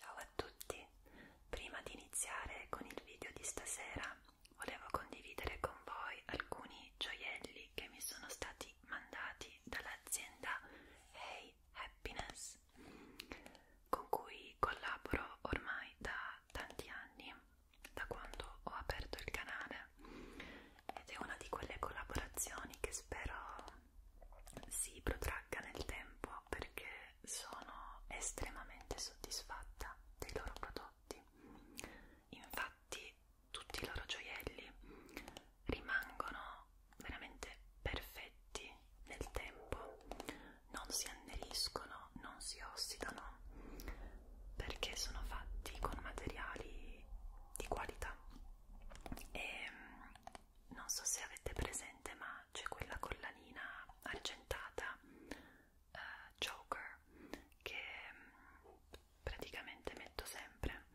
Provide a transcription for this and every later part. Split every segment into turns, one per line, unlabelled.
Ciao a tutti! Prima di iniziare con il video di stasera volevo condividere con voi alcuni gioielli che mi sono stati mandati dall'azienda Hey Happiness con cui collaboro ormai da tanti anni, da quando ho aperto il canale ed è una di quelle collaborazioni che spero si protragga nel tempo perché sono estremamente soddisfatta dei loro prodotti. Infatti tutti i loro gioielli rimangono veramente perfetti nel tempo, non si anneriscono, non si ossidano perché sono fatti con materiali di qualità e non so se avete presente ma c'è quella collanina argentata uh, Joker che mm, praticamente metto sempre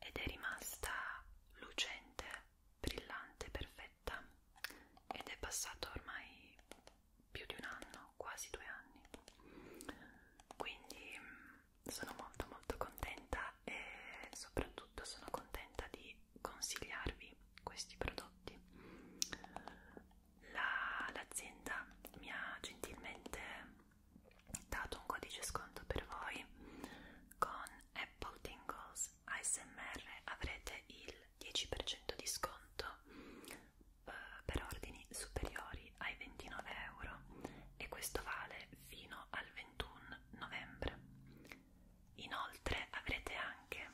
ed è rimasta lucente, brillante, perfetta ed è passato ormai più di un anno, quasi due anni quindi mm, sono molto molto contenta e soprattutto sono contenta di consigliarvi questi prodotti. L'azienda La, mi ha gentilmente dato un codice sconto per voi con Apple Tingles ASMR avrete il 10% di sconto eh, per ordini superiori ai 29 euro e questo vale fino al 21 novembre Inoltre avrete anche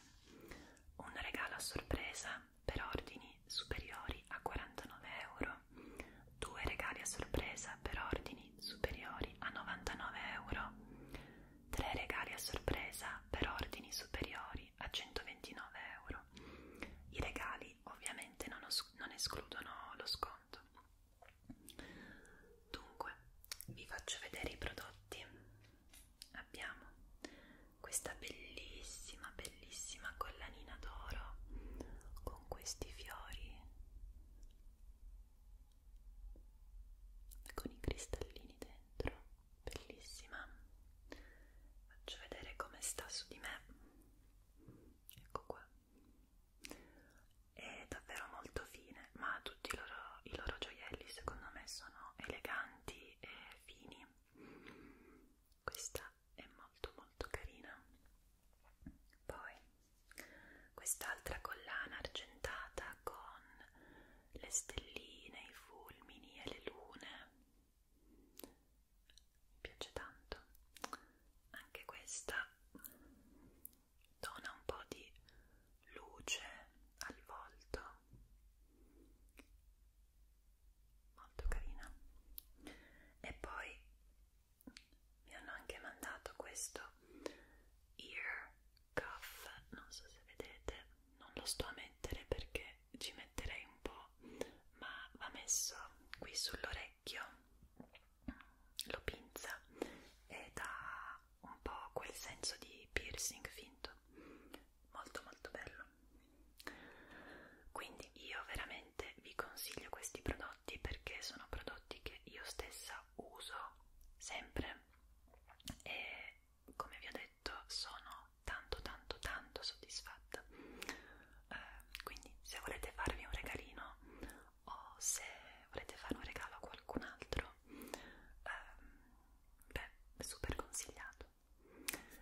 un regalo a sorpresa per ordini superiori a 49 euro, due regali a sorpresa per ordini superiori a 99 euro, tre regali a sorpresa per ordini superiori a 129 euro. I regali ovviamente non, non escludono lo sconto. Dunque, vi faccio vedere i prodotti. Abbiamo questa bellissima, bellissima collanina d'oro con questi fiori, con i cristallini dentro, bellissima. Faccio vedere come sta su di me. Ecco qua è davvero molto fine, ma tutti i loro, i loro gioielli secondo me sono eleganti e fini. Questa è molto molto carina. Poi quest'altra collana argentata con le stelline, i fulmini e le lune. Mi piace tanto. Anche questa dona un po' di luce al volto molto carina e poi mi hanno anche mandato questo ear cuff non so se vedete non lo sto a mettere perché ci metterei un po' ma va messo qui sull'orecchio lo pinza e dà un po' quel senso di piercing finto molto molto bello quindi io veramente vi consiglio questi prodotti perché sono prodotti che io stessa uso sempre e come vi ho detto sono tanto tanto tanto soddisfatta eh, quindi se volete farvi un regalino o se volete fare un regalo a qualcun altro, ehm, beh, super consigliato.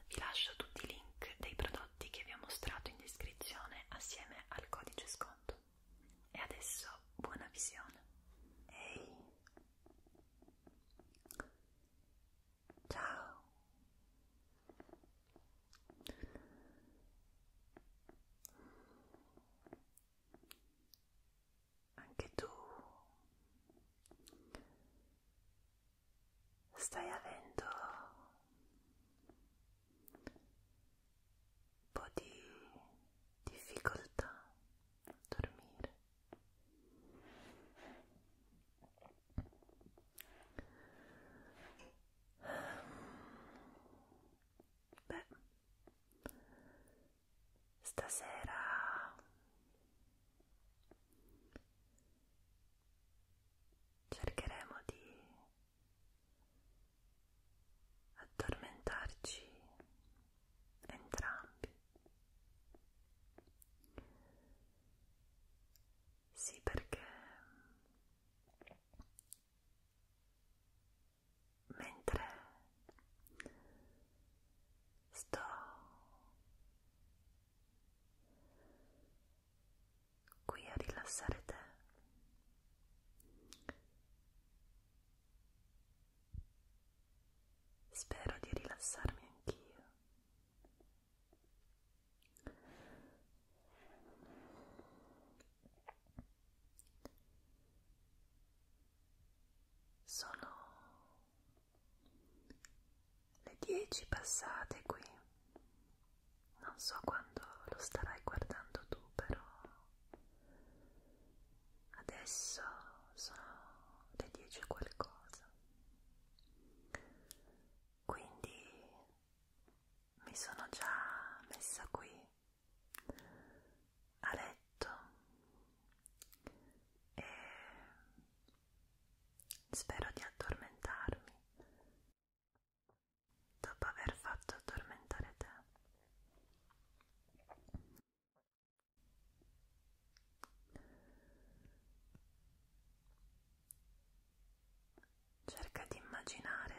Vi lascio tutti i link dei prodotti che vi ho mostrato in descrizione assieme al codice sconto. E adesso buona visione. Ehi! Ciao! anche tu stai avendo un po' di difficoltà a dormire Beh, stasera cercheremo di addormentarci entrambi sì perché mentre sto qui a rilassare te spero di rilassarmi anch'io sono le 10 passate qui. Non so quando lo starai guardando tu, però adesso sono le 10 qualcosa. Quindi mi sono già messa qui a letto e spero di addormentarmi dopo aver fatto addormentare te. Cerca di immaginare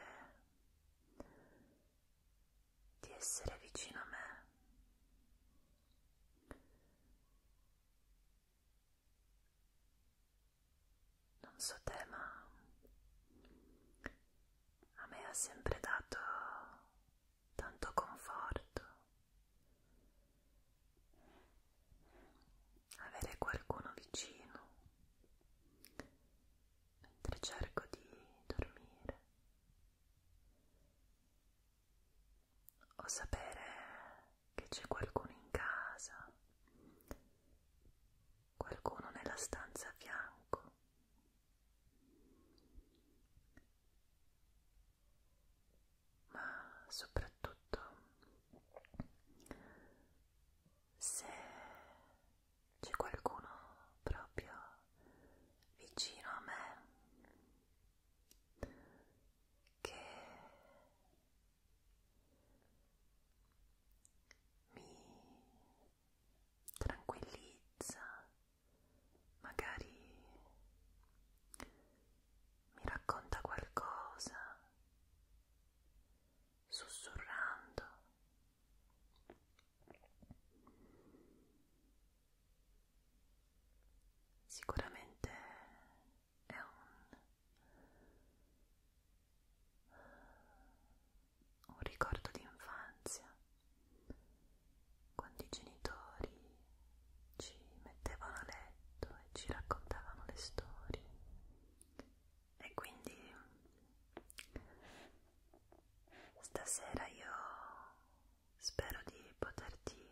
di essere vicino a me. Non so te, ma a me ha sempre dato tanto conforto avere qualcuno vicino mentre cerco di dormire o sapere che c'è qualcuno in casa, qualcuno nella stanza a fianco. Ma soprattutto se c'è qualcuno proprio vicino a me che mi tranquillizza, magari mi racconta qualcosa sussurrando Sicuramente è un, un ricordo di infanzia quando i genitori ci mettevano a letto e ci raccontavano le storie e quindi stasera io spero di poterti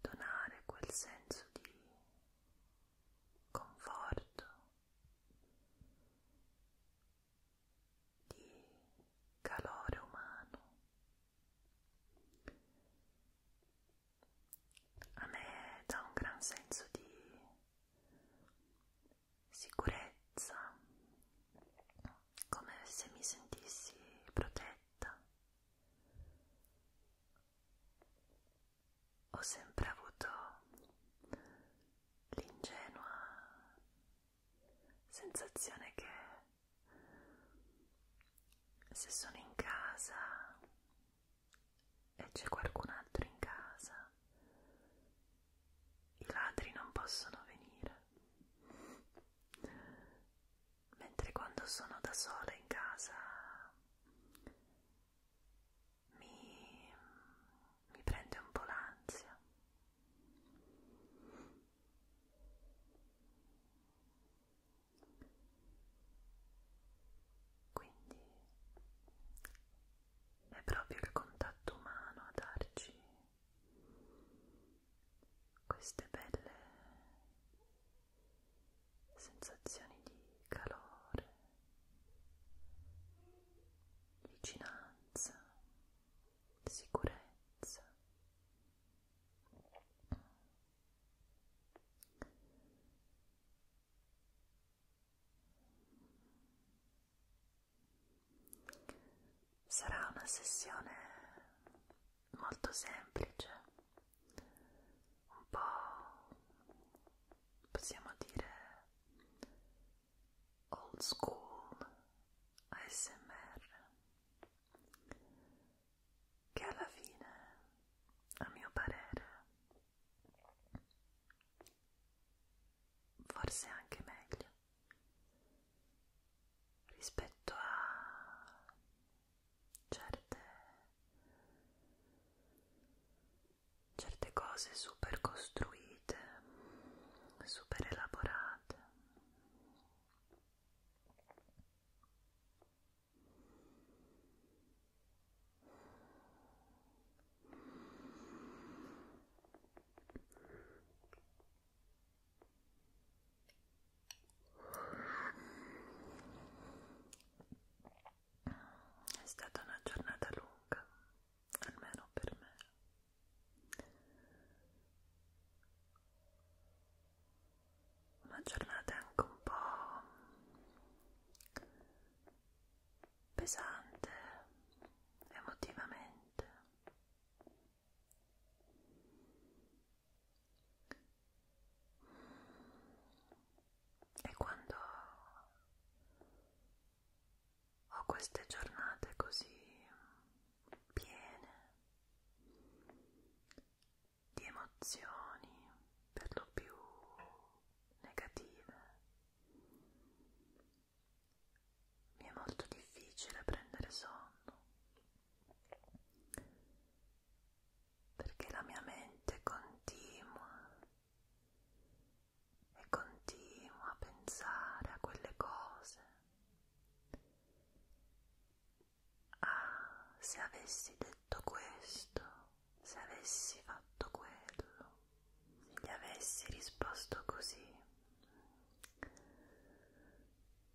donare quel senso di conforto, di calore umano. A me dà un gran senso di sicurezza, come se mi sentissi protetta. Ho sempre avuto l'ingenua sensazione che se sono in casa e c'è qualcun altro in casa i ladri non possono venire. Mentre quando sono da sola in casa mi, mi prende un po' l'ansia. Quindi è proprio il contatto umano a darci queste belle sensazioni di calore, vicinanza, sicurezza. Sarà una sessione molto semplice, un po' possiamo dire old school ASMR, che alla fine, a mio parere, forse anche meglio rispetto a certe, certe cose super costruite, super elaborate. È stata una giornata lunga, almeno per me. Una giornata anche un po' pesante emotivamente e quando ho queste giornate così piene di emozioni per lo più negative mi è molto difficile prendere sonno perché la mia mente continua e continua a pensare a quelle cose. Ah, se avessi detto questo, se avessi fatto quello, se gli avessi risposto così.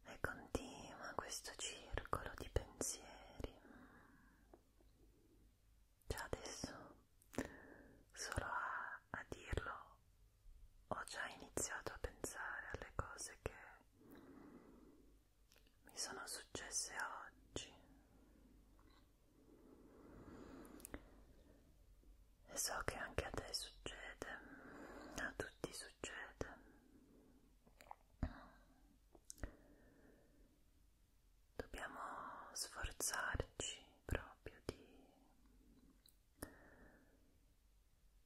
E continua questo circolo di pensieri. Già adesso, solo a, a dirlo, ho già iniziato a pensare alle cose che mi sono successe oggi e so che anche a te succede, a tutti succede. Dobbiamo sforzarci proprio di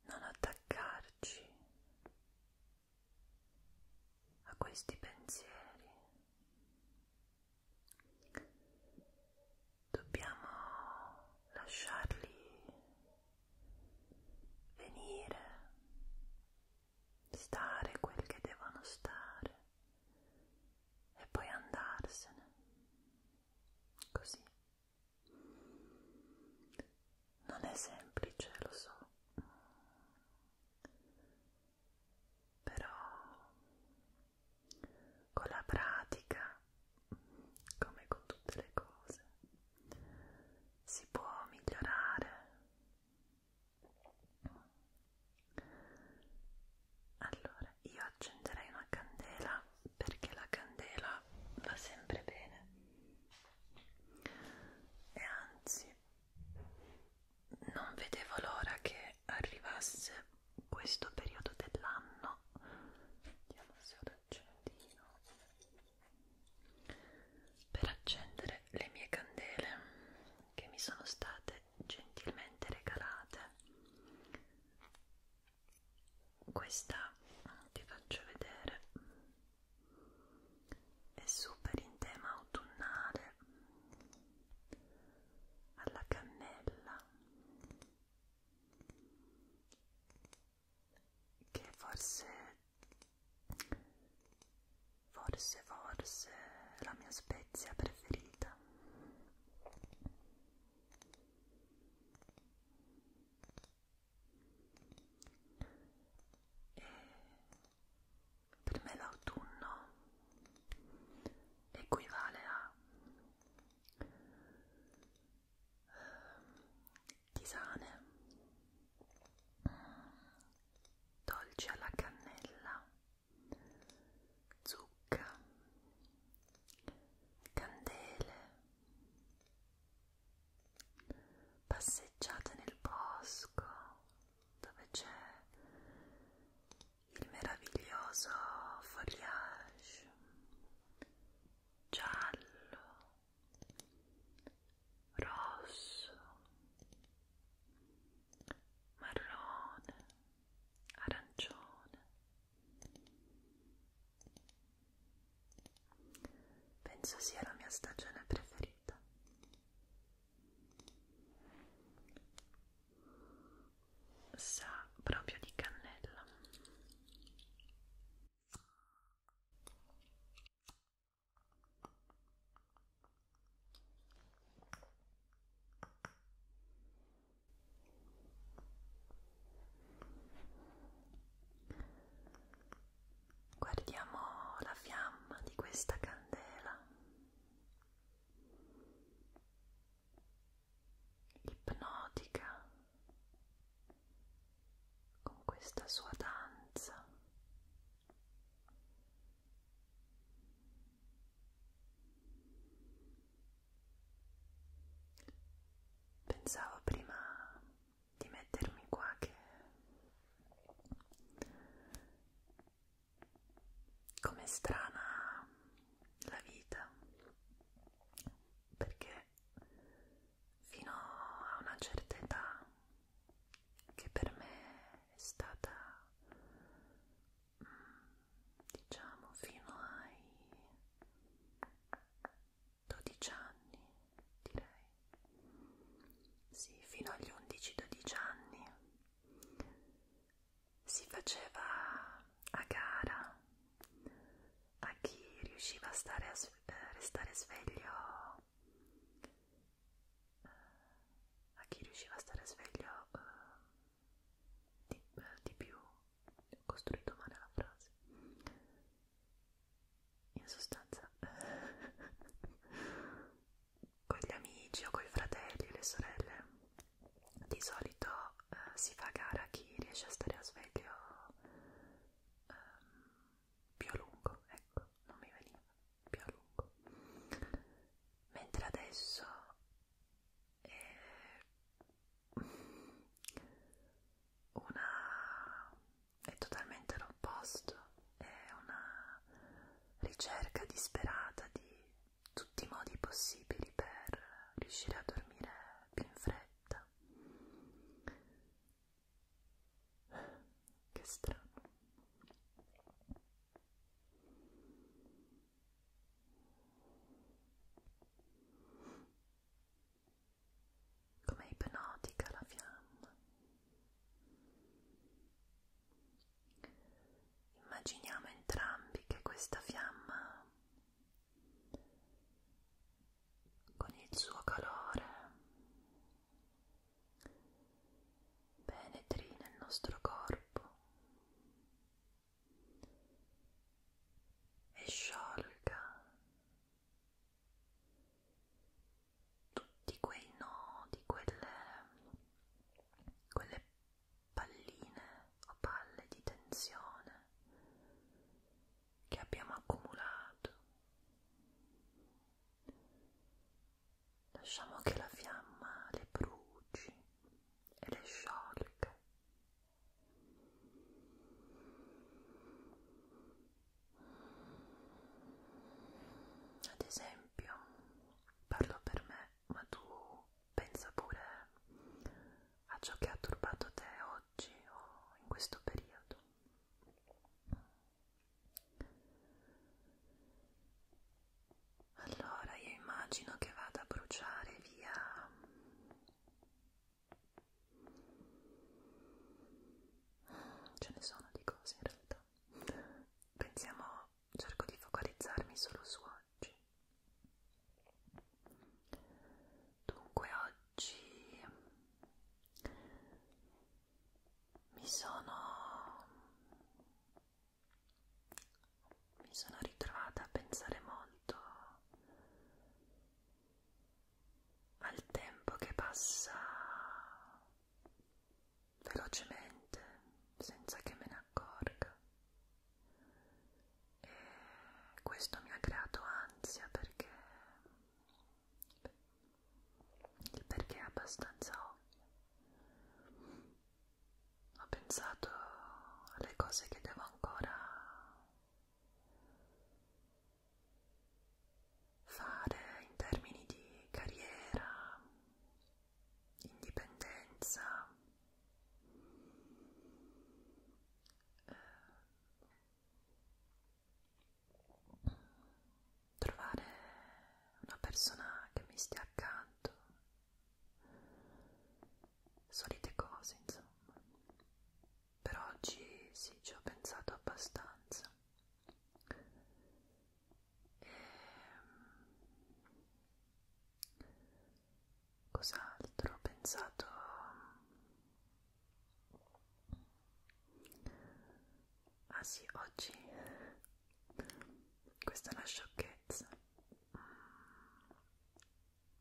non attaccarci a questi pensieri dobbiamo lasciarli venire, stare quel che devono stare e poi andarsene così. Non è semplice, lo so, però con la pratica, come con tutte le cose, si può migliorare. Allora, io accenderei una candela perché la candela va sempre bene e anzi non vedevo l'ora che che arrivasse questo periodo dell'anno vediamo se ho l'accendino per accendere le mie candele che mi sono state gentilmente regalate questa ti faccio vedere è super in tema autunnale alla cannella che forse forse forse la mia spezia preferita e per me l'autunno equivale a Ehm, tisane mm, dolci alla cannella zucca candele passeggiate nel bosco dove c'è il meraviglioso foliage giallo, rosso, marrone, arancione. Penso sia la mia stagione preferita sa proprio di cannella Guardiamo la fiamma di questa candela ipnotica con questa sua danza pensavo prima di mettermi qua che come strana la vita perché fino a una certa età che per me è stata mm, diciamo fino ai 12 anni direi sì fino agli 11-12 anni si faceva a gara a chi riusciva a, stare a eh, restare sveglio eh, a chi riusciva a stare sveglio uh, di, uh, di più ho costruito male la frase in sostanza con gli amici o con i fratelli e le sorelle di solito eh, si fa gara a chi riesce a stare a sveglio eh, più a lungo, ecco, non mi veniva più a lungo. Mentre adesso è una è totalmente l'opposto, è una ricerca disperata di tutti i modi possibili per riuscire a dormire più in fretta. Che strano. Come ipnotica la fiamma. Immaginiamo entrambi che questa fiamma con il suo calore penetri nel nostro corpo e sciolga tutti quei nodi, quelle, quelle palline o palle di tensione che abbiamo accumulato. Lasciamo che la fiamma le bruci e le sciolga. Ad esempio, parlo per me, ma tu pensa pure a ciò che ha turbato te oggi o in questo periodo. Allora io immagino che vada a bruciare via ce ne sono di cose in realtà pensiamo cerco di focalizzarmi solo su oggi. Dunque oggi mi sono mi sono ritrovata a pensare molto al tempo che passa velocemente senza che me ne accorga e questo mi ha creato ansia perché il perché è abbastanza ovvio ho pensato alle cose che devo ancora fare in termini di carriera indipendenza eh, trovare una persona che mi stia accanto solite cose insomma per oggi sì ci ho pensato abbastanza e ehm, cos'altro ho pensato ah sì oggi questa è una sciocchezza mm.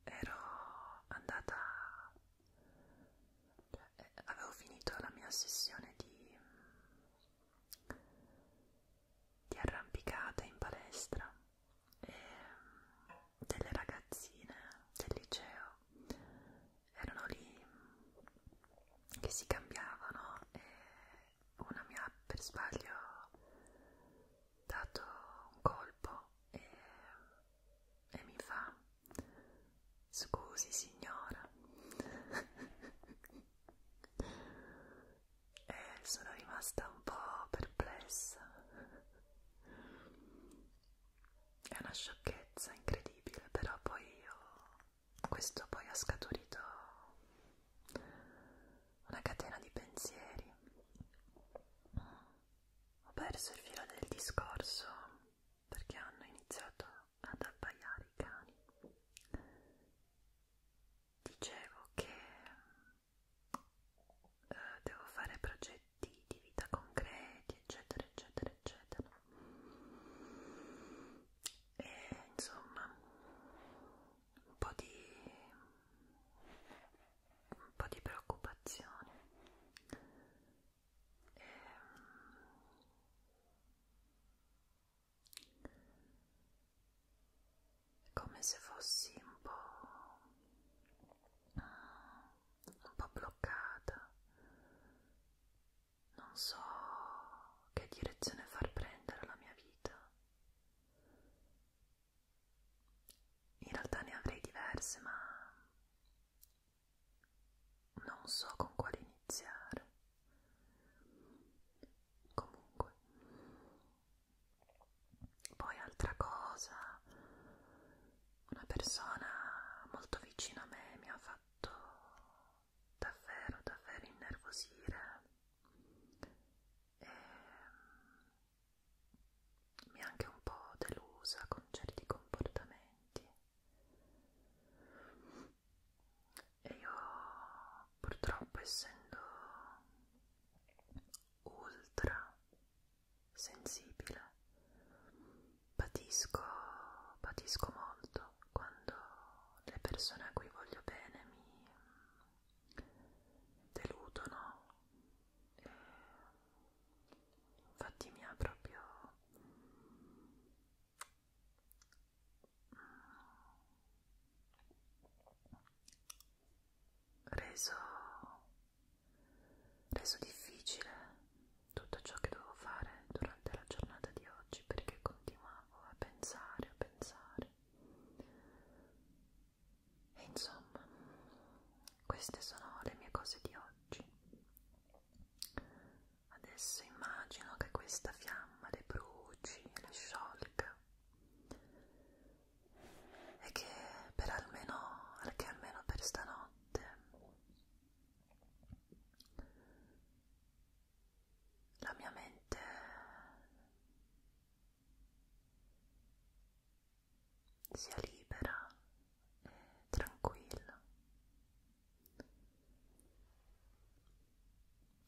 ero andata cioè, eh, avevo finito la mia sessione di di arrampicata in palestra e ehm, delle ragazzine del liceo erano lì che si cambiavano e una mi ha per sbaglio dato un colpo e, e mi fa scusi signora e sono rimasta un po' perplessa è una sciocchezza incredibile però poi io questo poi ha scaturito una catena di pensieri ho perso il filo del discorso perché hanno iniziato ad abbaiare i cani dicevo che eh, devo fare progetti di vita concreti, eccetera, eccetera, eccetera. E insomma, un po' di, un po' di preoccupazione. E, ehm, come se fossi un po', un po' bloccata, non so che direzione far prendere la mia vita. In realtà ne avrei diverse, ma non so con quale iniziare. Comunque, poi altra cosa, una persona molto vicina a me mi ha fatto davvero, davvero innervosire e mm, mi ha anche un po' delusa con certi comportamenti e io purtroppo essendo ultra sensibile. Patisco, patisco molto quando le persone a cui voglio bene mi deludono. E infatti mi ha proprio reso, reso difficile tutto ciò che dovevo fare durante la giornata di oggi perché continuavo a pensare, a pensare. E insomma, queste sono le mie cose di oggi. Adesso immagino che questa fiamma le bruci, le sciolga e che per almeno, che almeno per stanotte la mia mente sia libera e tranquilla.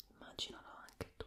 Immaginalo anche tu.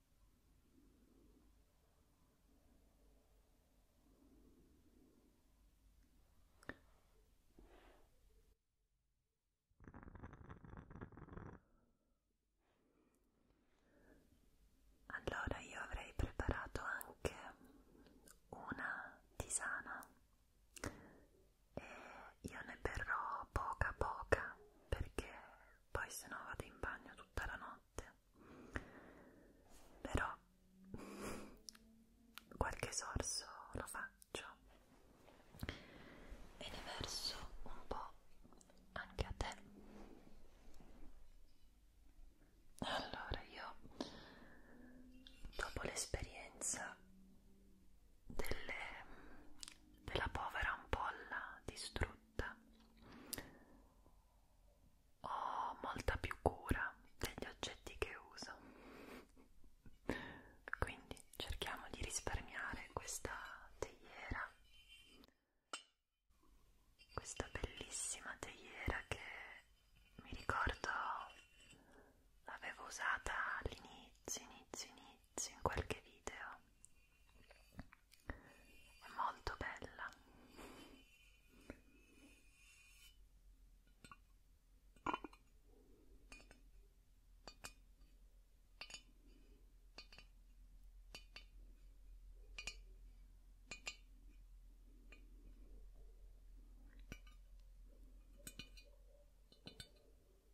Allora io avrei preparato anche una tisana e io ne berrò poca poca perché poi se no vado in bagno tutta la notte però qualche sorso lo faccio e ne verso un po' anche a te allora io dopo l'esperienza delle, della povera ampolla distrutta matta ho molta più cura degli oggetti che uso quindi cerchiamo di risparmiare questa teiera questa bellissima teiera che mi ricordo l'avevo usata all'inizio inizio inizio pezzi in qualche video è molto bella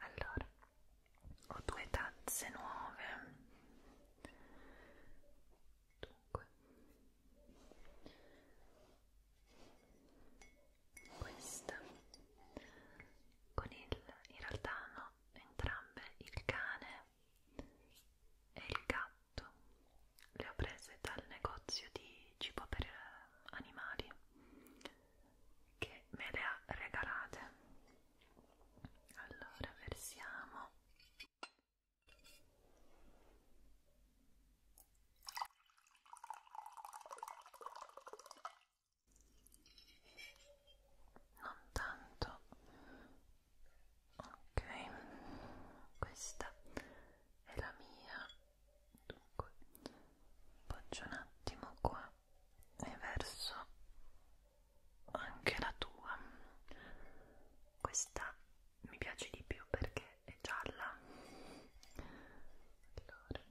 Allora, ho due tazze nuove. Dunque, questa con il in realtà hanno entrambe il cane e il gatto gatto le ho prese dal negozio di cibo per eh, animali che me le ha regalate allora versiamo non tanto ok questa è la mia dunque poggia un attimo qua e verso anche la tua questa mi piace di più perché è gialla allora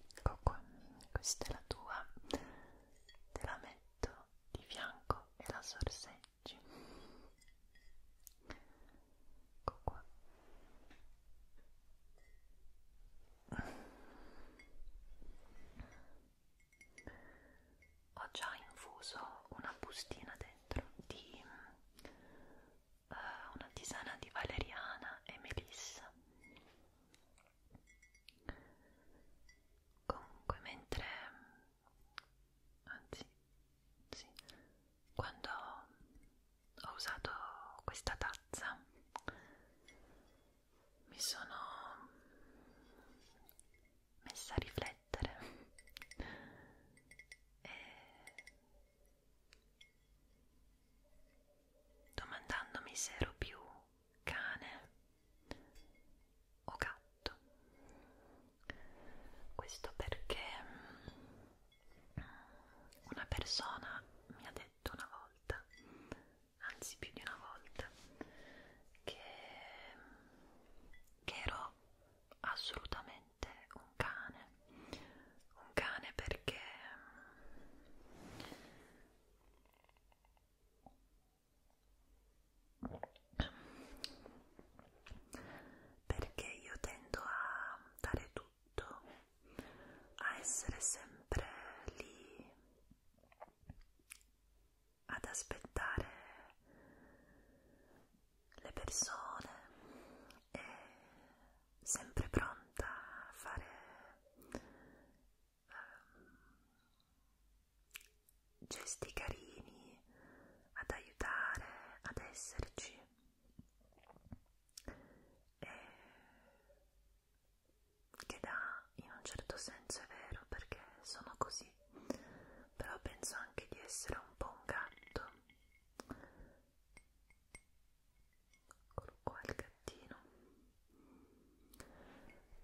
Ecco qua, questa è la tua, te la metto di fianco e la sorseggi. Ecco qua. Ecco ho già infuso una bustina dentro di uh, una tisana di valeriana e melissa comunque mentre anzi sì, quando ho usato questa tazza mi sono messa a riflettere e domandandomi se ero più cane o gatto questo perché una persona mi ha detto una volta anzi più di una volta, che, che ero assolutamente un cane, un cane perché perché io tendo a dare tutto, a essere sempre lì ad aspettare le persone e sempre pronta a fare um, gesti carini, ad aiutare, ad esserci e che da in un certo senso è vero perché sono così però penso anche di essere un po' un gatto eccolo qua il gattino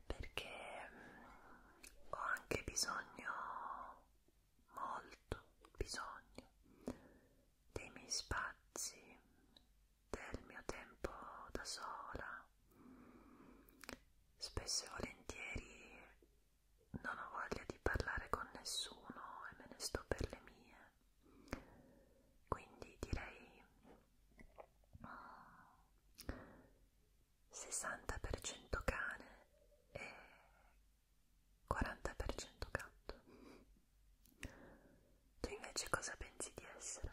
perché mm, ho anche bisogno molto bisogno dei miei spazi del mio tempo da sola Spesso e volentieri non ho voglia di parlare con nessuno e me ne sto per le mie. Quindi direi 60% ah, cane e 40% gatto. Tu invece cosa pensi di essere?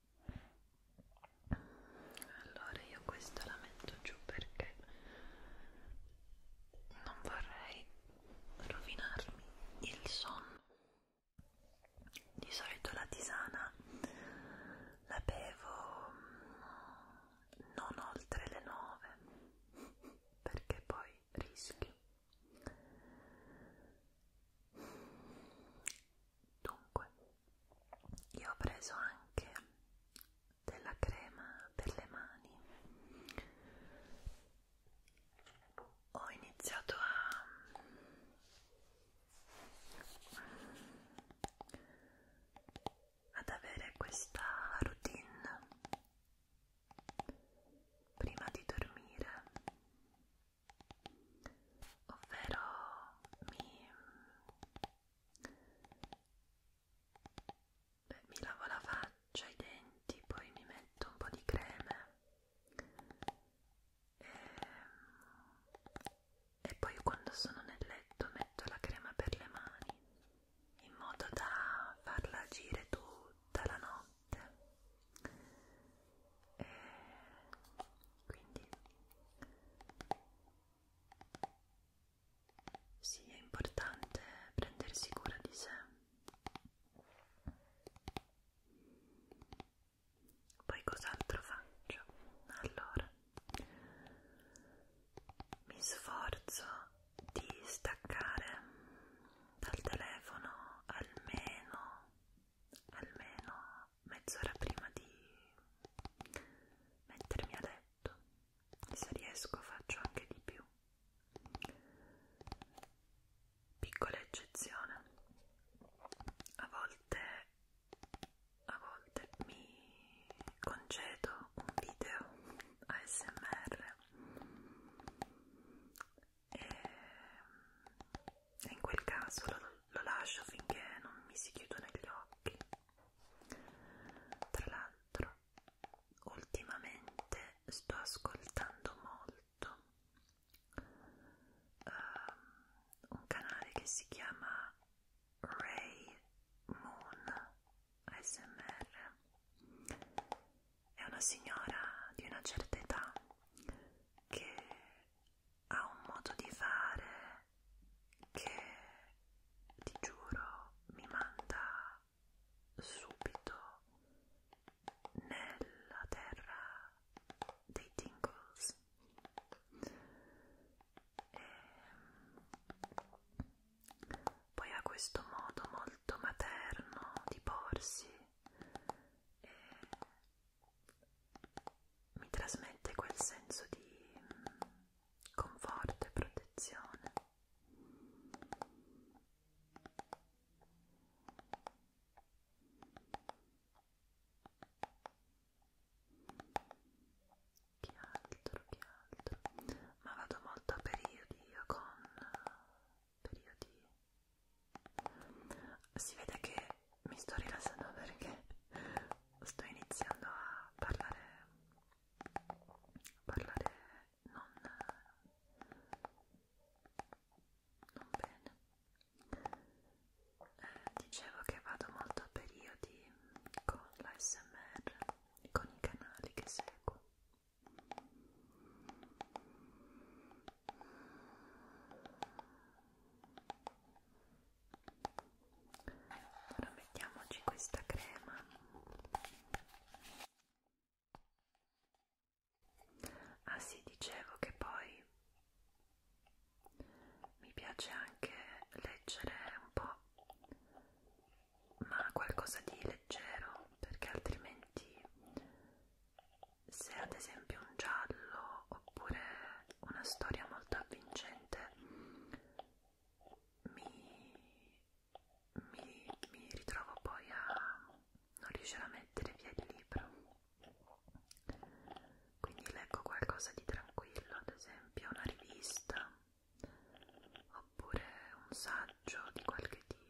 allora io questa la metto giù perché non vorrei rovinarmi il sonno di solito la tisana la bevo mm, non oltre le 9 perché poi rischio Dunque, io ho preso anche della crema per le mani. Ho iniziato a ad avere questa routine prima di dormire ovvero mi, beh, mi lavo la faccia, i denti, poi mi metto un po' di creme e, ehm, e poi quando sono nel letto metto la crema per le mani in modo da farla agire tutta la notte eh, quindi sì, è importante prendersi cura di sé. Poi cos'altro faccio? Allora, mi sforzo di staccare dal telefono almeno almeno mezz'ora prima di mettermi a letto e se riesco faccio anche di più piccola eccezione a volte a volte mi concedo un video ASMR e e in quel caso lo, lo lascio finché non mi si chiudono gli occhi. Tra l'altro, ultimamente sto ascoltando molto um, un canale che si chiama Ray Moon ASMR. È una signora di una certa età che ha un modo di fare che ti giuro mi manda subito nella terra dei tingles e ehm, poi ha questo modo molto materno di porsi e mi trasmette quel senso di mm, conforto e protezione. Che altro, che altro? Ma vado molto a periodi con eh, periodi si vede che mi sto rilassando perché sto iniziando a parlare parlare non non bene eh, dicevo che vado molto a periodi con l'ASMR con i canali che seguo Ora mettiamoci questa crema. Ah sì, dicevo che poi mi piace anche leggere un po', ma qualcosa di leggero, perché altrimenti se ad esempio un giallo oppure una storia molto avvincente mi, mi, mi ritrovo poi a non riuscire a mettere via il libro quindi leggo qualcosa di tranquillo ad esempio una rivista oppure un saggio di qualche tipo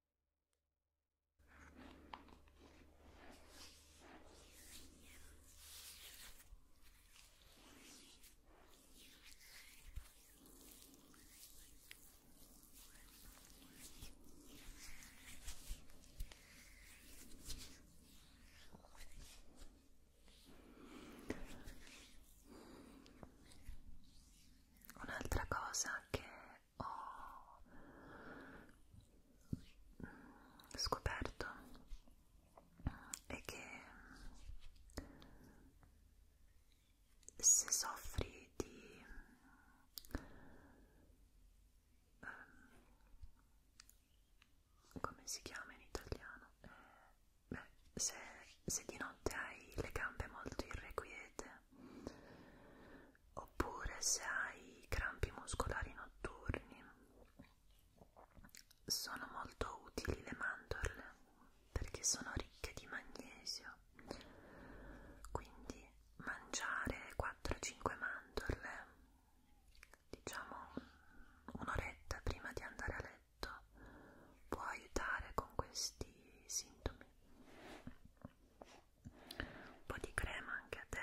Un'altra cosa che ho scoperto è che se soffri di um, come si chiama in italiano? Eh, beh, se, se di notte hai le gambe molto irrequiete oppure se hai crampi muscolari notturni sono molto utili le mandorle perché sono ricche di magnesio quindi mangiare 4-5 mandorle diciamo un'oretta prima di andare a letto può aiutare con questi sintomi un po' di crema anche a te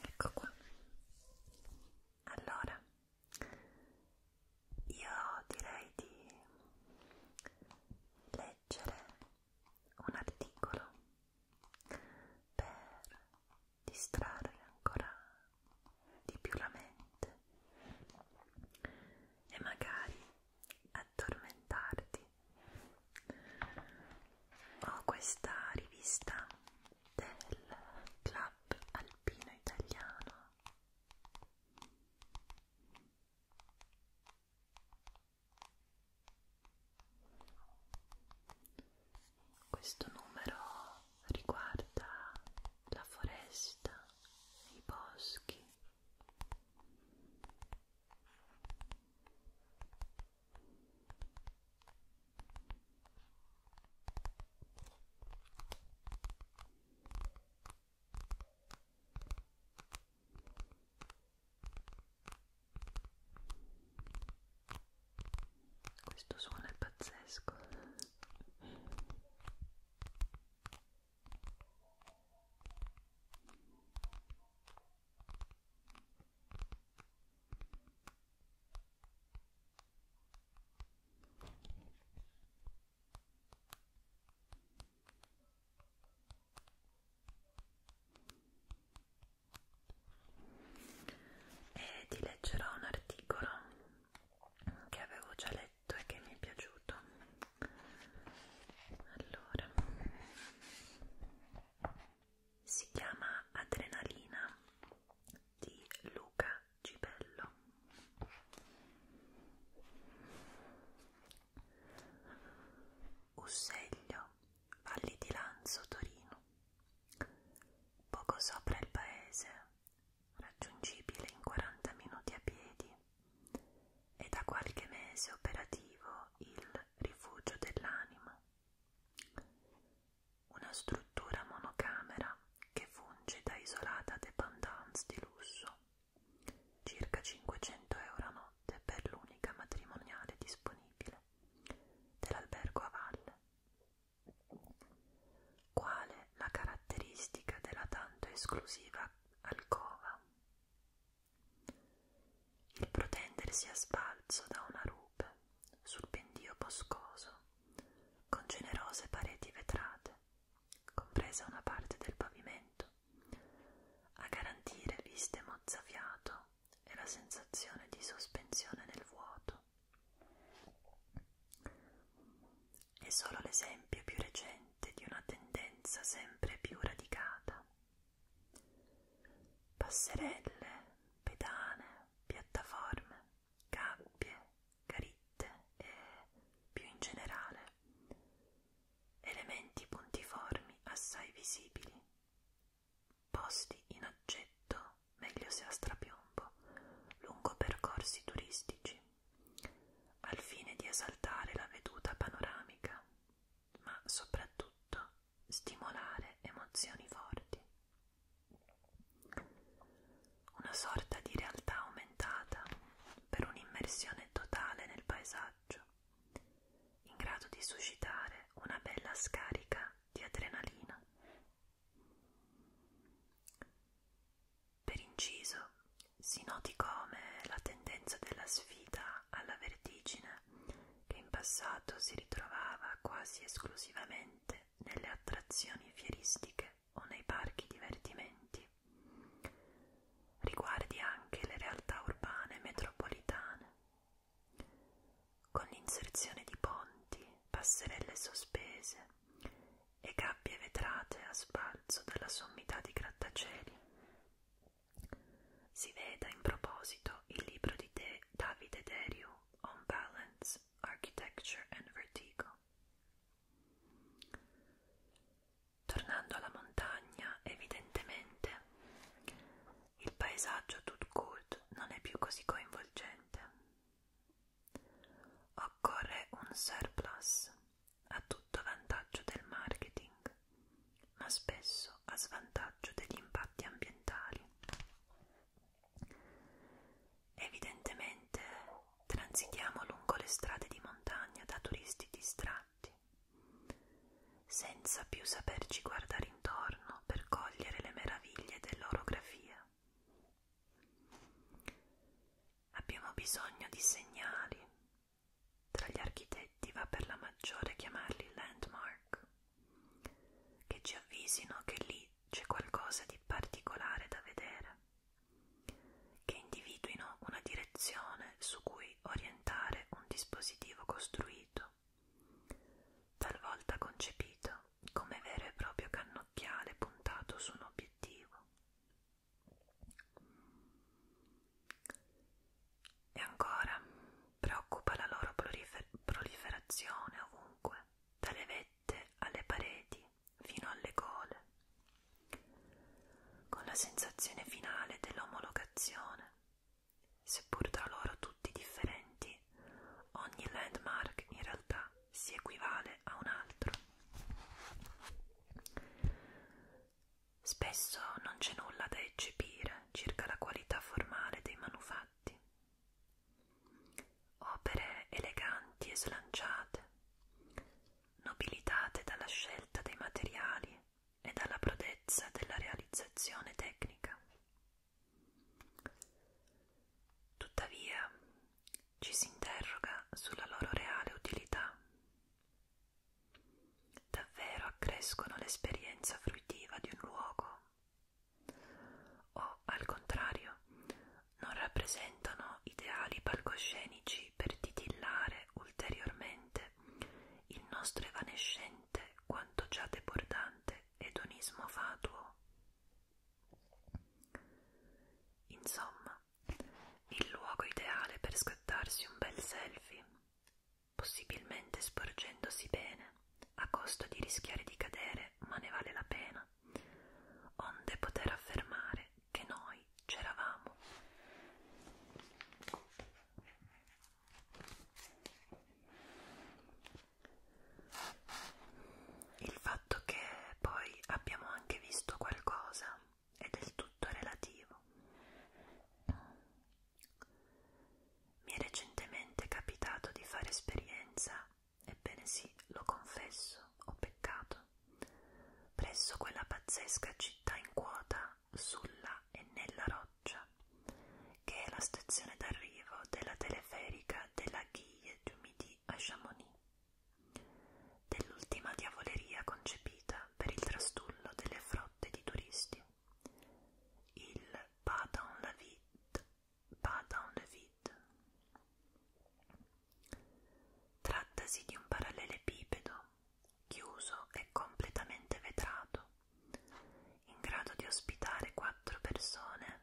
Ecco qua. Allora, io direi di leggere un articolo per distrarre ancora di più la mente e magari addormentarti ho questa rivista del Club Alpino Italiano questo numero riguarda la foresta, i boschi questo suono è pazzesco e ti leggerò un articolo che avevo già letto e che mi è piaciuto allora si chiama Adrenalina di Luca Gibello Usseglio, Valli di Lanzo, Torino poco sopra il paese raggiungibile in 40 minuti a piedi è da qualche mese operativo il rifugio dell'anima. Una struttura monocamera che funge da isolata dependance di lusso, circa 500 euro a notte per l'unica matrimoniale disponibile dell'albergo a valle. Quale la caratteristica della tanto esclusiva alcova? Il protendersi a sbalzo da una rupe sul pendio boscoso, con generose pareti vetrate, compresa una parte del pavimento, a garantire viste mozzafiato e la sensazione di sospensione nel vuoto. È solo l'esempio più recente di una tendenza sempre più radicata passerelle, pedane, piattaforme, gabbie, caritte e, più in generale, elementi puntiformi assai visibili, posti in oggetto, meglio se a strapiombo, lungo percorsi turistici, al fine di esaltare la veduta panoramica ma soprattutto stimolare emozioni forti. Una sorta di realtà aumentata per un'immersione totale nel paesaggio, in grado di suscitare una bella scarica di adrenalina. Per inciso, si noti come la tendenza della sfida alla vertigine che in passato si ritrovava quasi esclusivamente nelle attrazioni fieristiche o nei parchi divertimenti. Riguardi anche le realtà urbane metropolitane. Con l'inserzione di ponti, passerelle sospese e gabbie vetrate a sbalzo dalla sommità di grattacieli, si veda in proposito il libro di De Davide Derio On Balance, Architecture and Vertigo. Tornando alla montagna, evidentemente, il paesaggio tout court non è più così coinvolgente. Occorre un surplus a tutto vantaggio del marketing. Park, ma spesso a svantaggio degli impatti ambientali. Evidentemente transitiamo lungo le strade di montagna da turisti distratti, senza più saperci guardare intorno per cogliere le meraviglie dell'orografia. Abbiamo bisogno di segnali, tra gli architetti va per la maggiore chiamarli landmark, che ci avvisino che lì c'è qualcosa di particolare da vedere, che individuino una direzione su cui orientare un dispositivo costruito, talvolta concepito come vero e proprio cannocchiale puntato su un obiettivo. E ancora, preoccupa la loro prolifer proliferazione ovunque, dalle vette alle pareti fino alle gole. Con la sensazione finale dell'omologazione, seppur tra loro tutti differenti, ogni landmark in realtà si equivale a un altro. Spesso non c'è nulla da eccepire circa la qualità formale dei manufatti. Opere eleganti e slanciate, nobilitate dalla scelta dei materiali e dalla prodezza della realizzazione tecnica. Tuttavia, ci si interroga sulla loro reale utilità. Davvero accrescono l'esperienza fruitiva di un luogo o, al contrario, non rappresentano ideali palcoscenici per titillare ulteriormente il nostro evanescente quanto già debordante edonismo fatuo. Insomma, il luogo ideale per scattarsi un bel selfie, possibilmente sporgendosi bene, a costo di rischiare di cadere, ma ne vale la pena, onde poter affermare che noi c'eravamo. Il fatto che poi abbiamo anche visto qualcosa è del tutto relativo. Mi è recentemente capitato di fare esperienza, ebbene sì, lo confesso, ho peccato, presso quella pazzesca città in quota sulla e nella roccia, che è la stazione d'arrivo della teleferica della Guille du Midi a Chamonix, dell'ultima diavoleria concepita per il trastullo delle frotte di turisti. Il pas dans le vide, pas dans le vide. Trattasi di un parallelepipedo, chiuso e completamente vetrato, in grado di ospitare quattro persone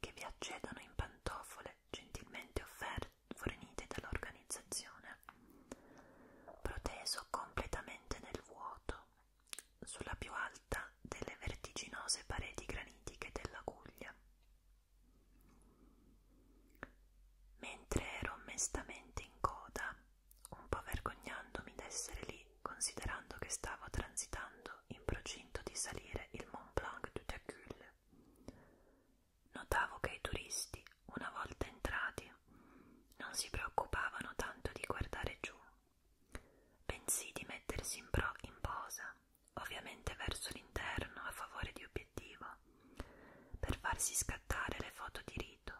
che vi accedono in pantofole gentilmente offerte fornite dall'organizzazione, proteso completamente nel vuoto, sdraiò sulla più alta delle vertiginose pareti granitiche della Guglia. Mentre ero mestamente in coda, un po' vergognandomi d'essere lì, considerando che stavo transitando in procinto di salire il Mont Blanc du Tacul, notavo che i turisti, una volta entrati, non si preoccupavano tanto di guardare giù, bensì di mettersi in, pro in posa, ovviamente verso l'interno a favore di obiettivo, per farsi scattare le foto di rito.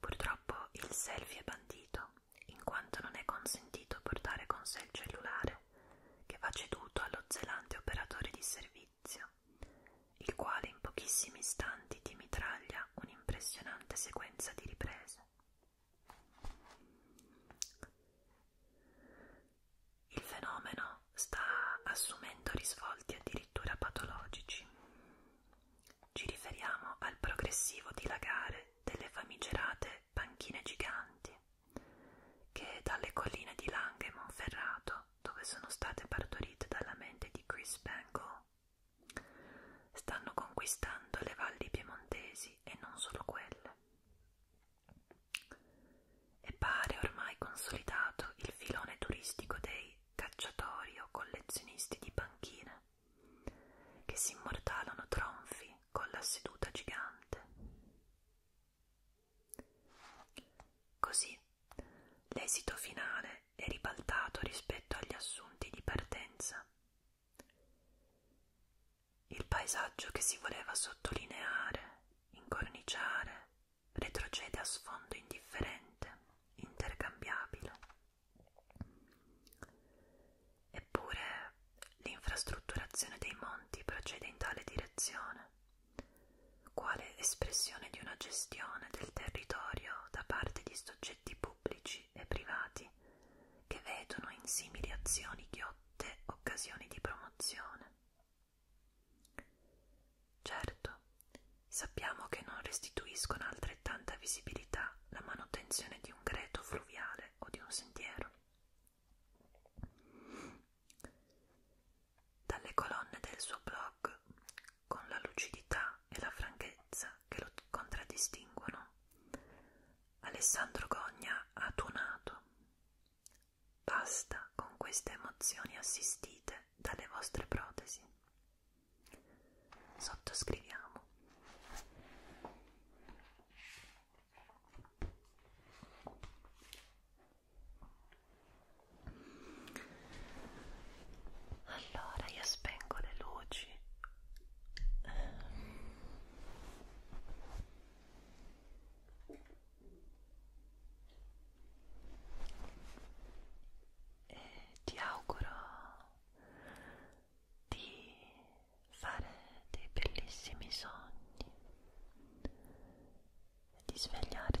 Purtroppo il selfie è bandito, in quanto non è consentito portare con sé il cellulare, che va ceduto allo zelante operatore di servizio il quale in pochissimi istanti ti mitraglia un'impressionante sequenza di riprese. Il fenomeno sta assumendo risvolti addirittura patologici. Ci riferiamo al progressivo dilagare delle famigerate panchine giganti che dalle colline di Langhe e Monferrato, dove sono state partorite dalla mente di Chris Bangle, Stanno conquistando le valli piemontesi e non solo quelle. E pare ormai consolidato il filone turistico dei cacciatori o collezionisti di panchine, che si immortalano tronfi con la seduta gigante. Così L'esito finale è ribaltato rispetto agli assunti di partenza. Il paesaggio che si voleva sottolineare, incorniciare, retrocede a sfondo indifferente, intercambiabile. Eppure l'infrastrutturazione dei monti procede in tale direzione, quale espressione di una gestione del territorio da parte di soggetti soggetti pubblici e privati che vedono in simili azioni ghiotte occasioni di promozione. Certo, sappiamo che non restituiscono altrettanta visibilità la manutenzione di un greto fluviale o di un sentiero. Dalle colonne del suo blog con la lucidità e la franchezza che lo contraddistinguono. Alessandro Gogna ha tuonato. Basta con queste emozioni assistite dalle vostre protesi. Sottoscriviamo allora io spengo le luci e ti auguro di fare dei bellissimi sogni e di svegliarti